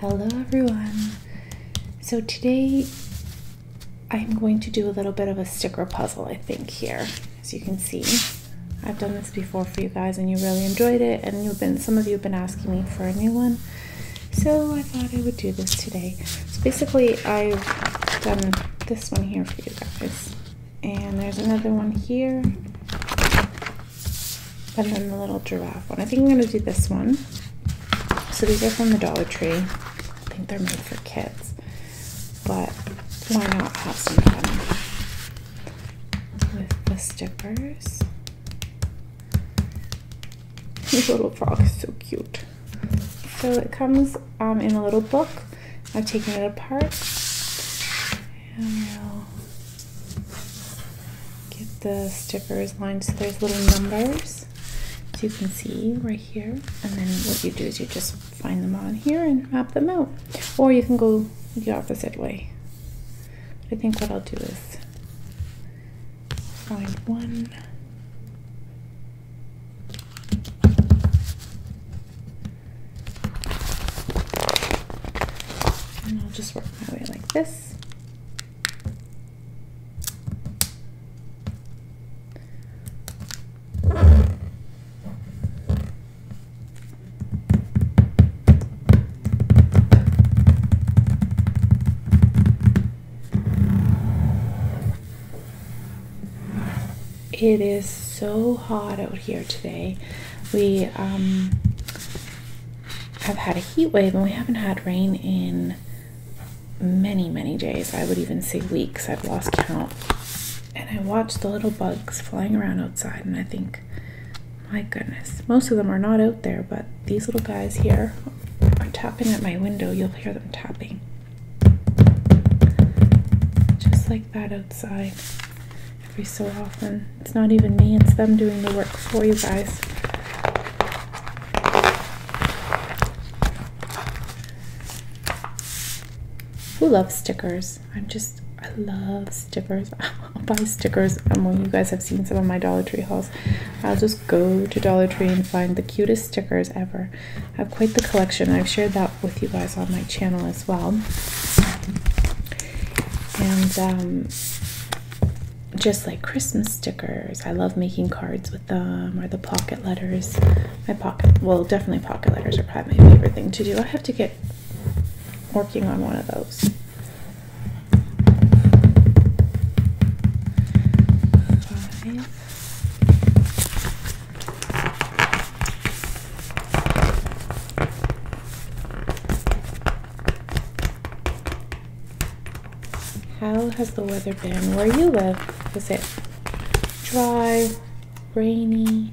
Hello everyone. So today I'm going to do a little bit of a sticker puzzle I think here as you can see. I've done this before for you guys and you really enjoyed it and you've been some of you have been asking me for a new one. So I thought I would do this today. So basically I've done this one here for you guys and there's another one here and then the little giraffe one. I think I'm going to do this one. So these are from the Dollar Tree. I think they're made for kids. But why not have some fun with the stickers? This little frog is so cute. So it comes um, in a little book. I've taken it apart and we'll get the stickers lined. So there's little numbers, as you can see right here. And then what you do is you just find them on here and map them out. Or you can go the opposite way. I think what I'll do is find one. And I'll just work my way like this. It is so hot out here today we um, have had a heat wave and we haven't had rain in many, many days. I would even say weeks. I've lost count. And I watch the little bugs flying around outside and I think, my goodness, most of them are not out there, but these little guys here are tapping at my window. You'll hear them tapping. Just like that outside every so often. It's not even me, it's them doing the work for you guys. Who loves stickers? I'm just, I love stickers. I'll buy stickers. Um, well, you guys have seen some of my Dollar Tree hauls. I'll just go to Dollar Tree and find the cutest stickers ever. I have quite the collection. I've shared that with you guys on my channel as well and um, just like Christmas stickers. I love making cards with them or the pocket letters. My pocket, well, definitely pocket letters are probably my favorite thing to do. I have to get working on one of those. How has the weather been where you live? Is it dry, rainy?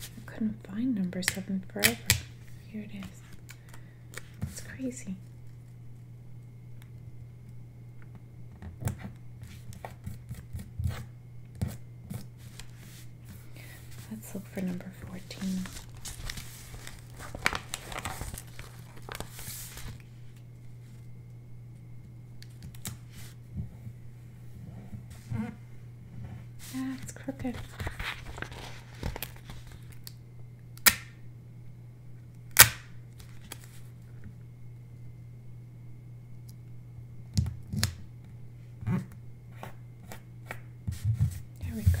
I couldn't find number seven forever. Here it is. It's crazy. Let's look for number 14. Ah, it's crooked. There we go.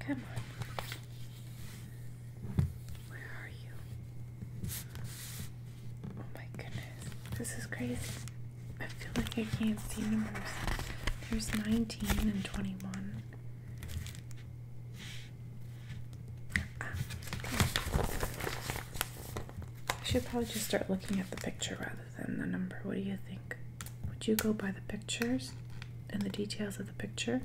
Come on. Where are you? Oh my goodness. This is crazy. I feel like I can't see numbers. There's 19 and 21. Ah. I should probably just start looking at the picture rather than the number. What do you think? Would you go by the pictures and the details of the picture?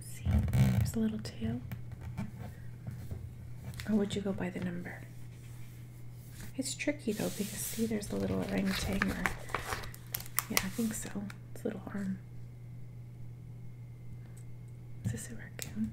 see, there's a little tail. Or would you go by the number? It's tricky though because see, there's the little orangutan. yeah, I think so. It's a little arm. Is this a raccoon?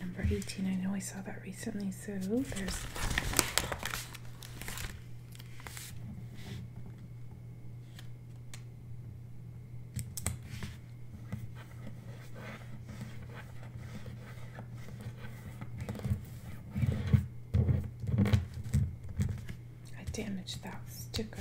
Number 18, I know I saw that recently, so there's. I damaged that sticker.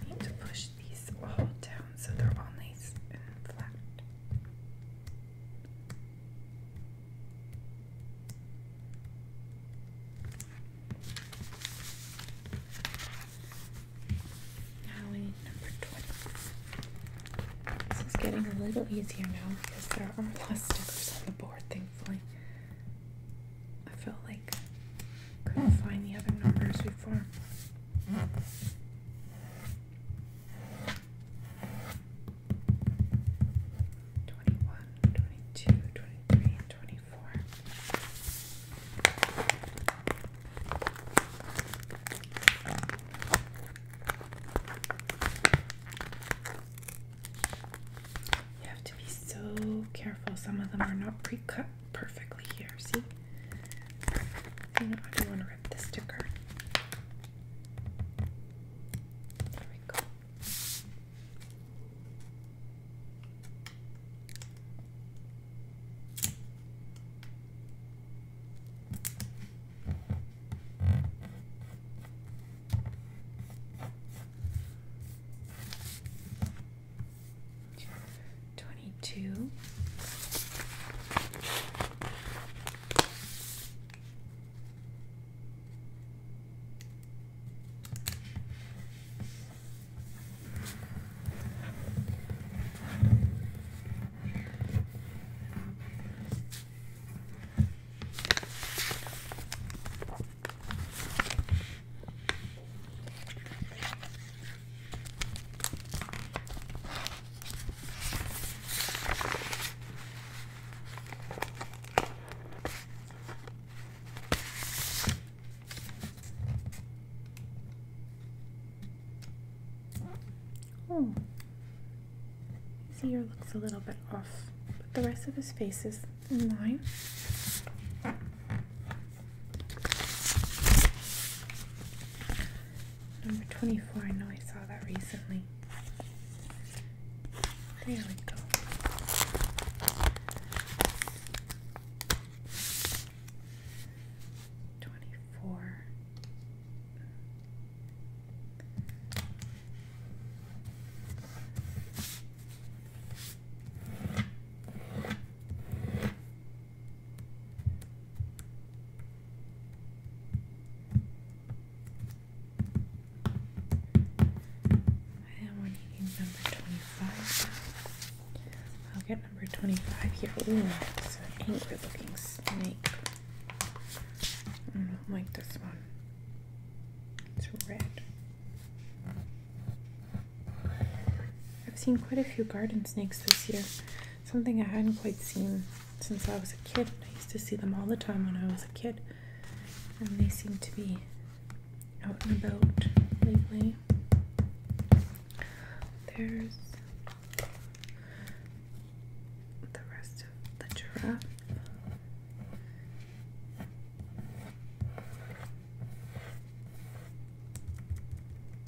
I need to push these all down so they're all nice and flat. Now we need number 20. This is getting a little easier now because there are less stickers on the board, thankfully. I felt like couldn't find the other numbers before. 21, You have to be so careful. Some of them are not pre cut perfectly here. See? I do not want to rip the sticker. There we go. 22. Oh, his ear looks a little bit off, but the rest of his face is in line. Number 24, I know I saw that recently. There we go. Twenty-four. I am on number 25 I'll get number 25 here. Ooh, angry looking snake. Mm, I don't like this one. It's red. I've seen quite a few garden snakes this year something I hadn't quite seen since I was a kid. I used to see them all the time when I was a kid, and they seem to be out and about lately. There's the rest of the giraffe.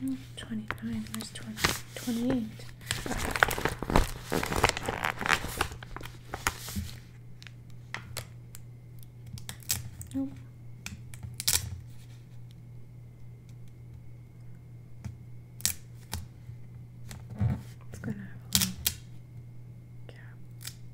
Hmm, 29, where's 20, 28? Nope. It's gonna have a cap.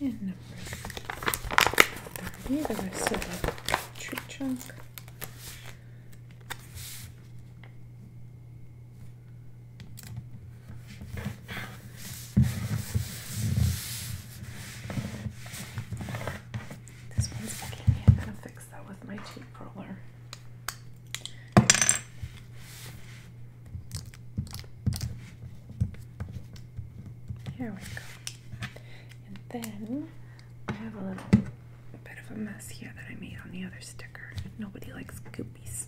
And number 30, the rest of the tree trunk. This one's fucking me. I'm gonna fix that was my tape roller. Here we go. And then I have a little bit of a mess here that I made on the other sticker. Nobody likes goopies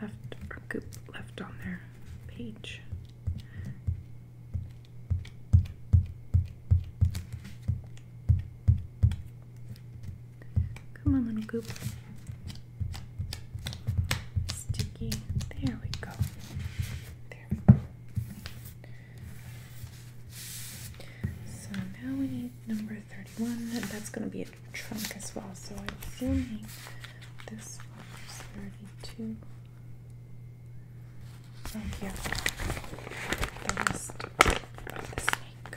left goop left on their page. Come on, little goop. Sticky. There we go. There we go. So now we need number 31. That's going to be a trunk as well. So I am assuming this one is 32. Thank you. The wrist the snake.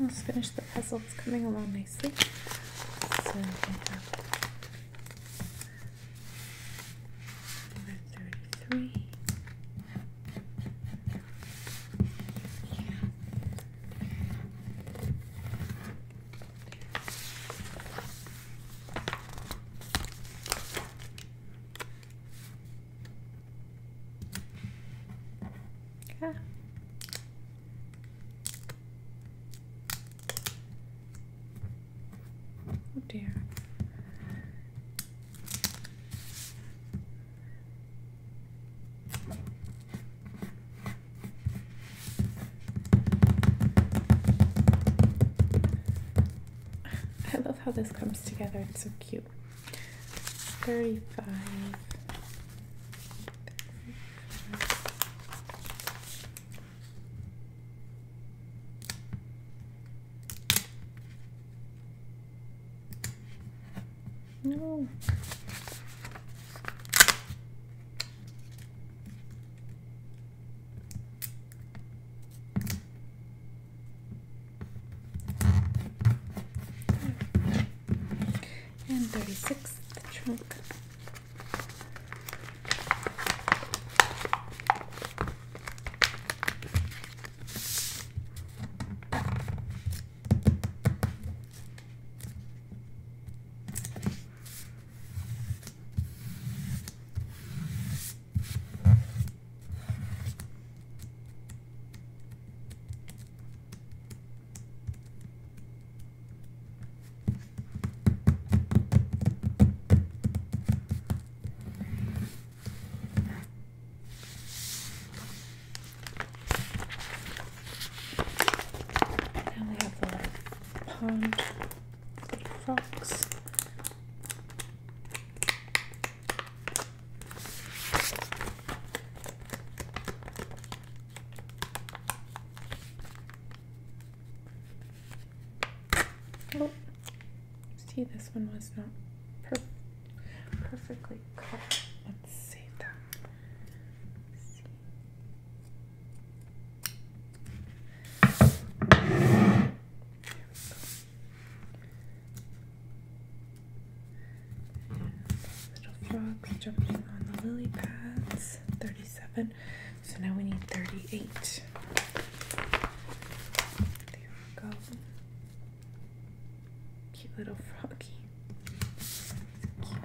Let's finish the puzzle, it's coming along nicely. So we Oh dear. I love how this comes together. It's so cute. 35. 35. No and 36th trunk. Now we have the pond frogs. Oh, see, this one was not per perfectly cut. Let's save that. Little frogs jumping on the lily pads. 37. So now we need 38. There we go. Cute little froggy. cute.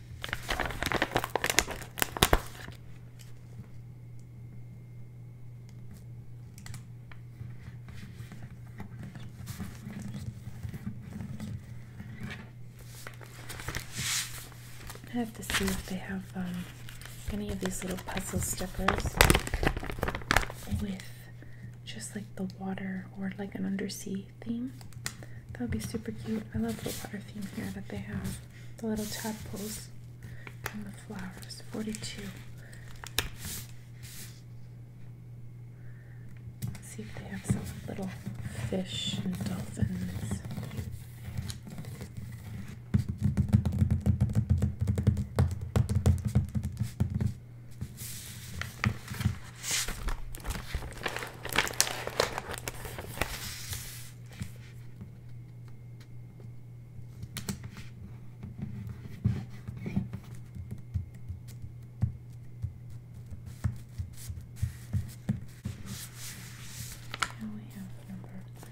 I have to see if they have um, any of these little puzzle stickers with just like the water or like an undersea theme. That would be super cute. I love the water theme here that they have. The little tadpoles and the flowers. 42. see if they have some little fish and dolphins. Now we have number four.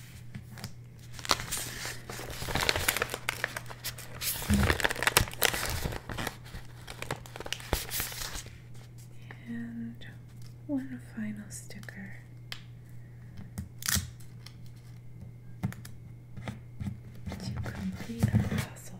And one final sticker. To complete our puzzle,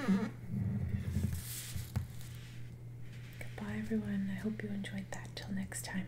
Mm-hmm. Goodbye, everyone. I hope you enjoyed that. Till next time.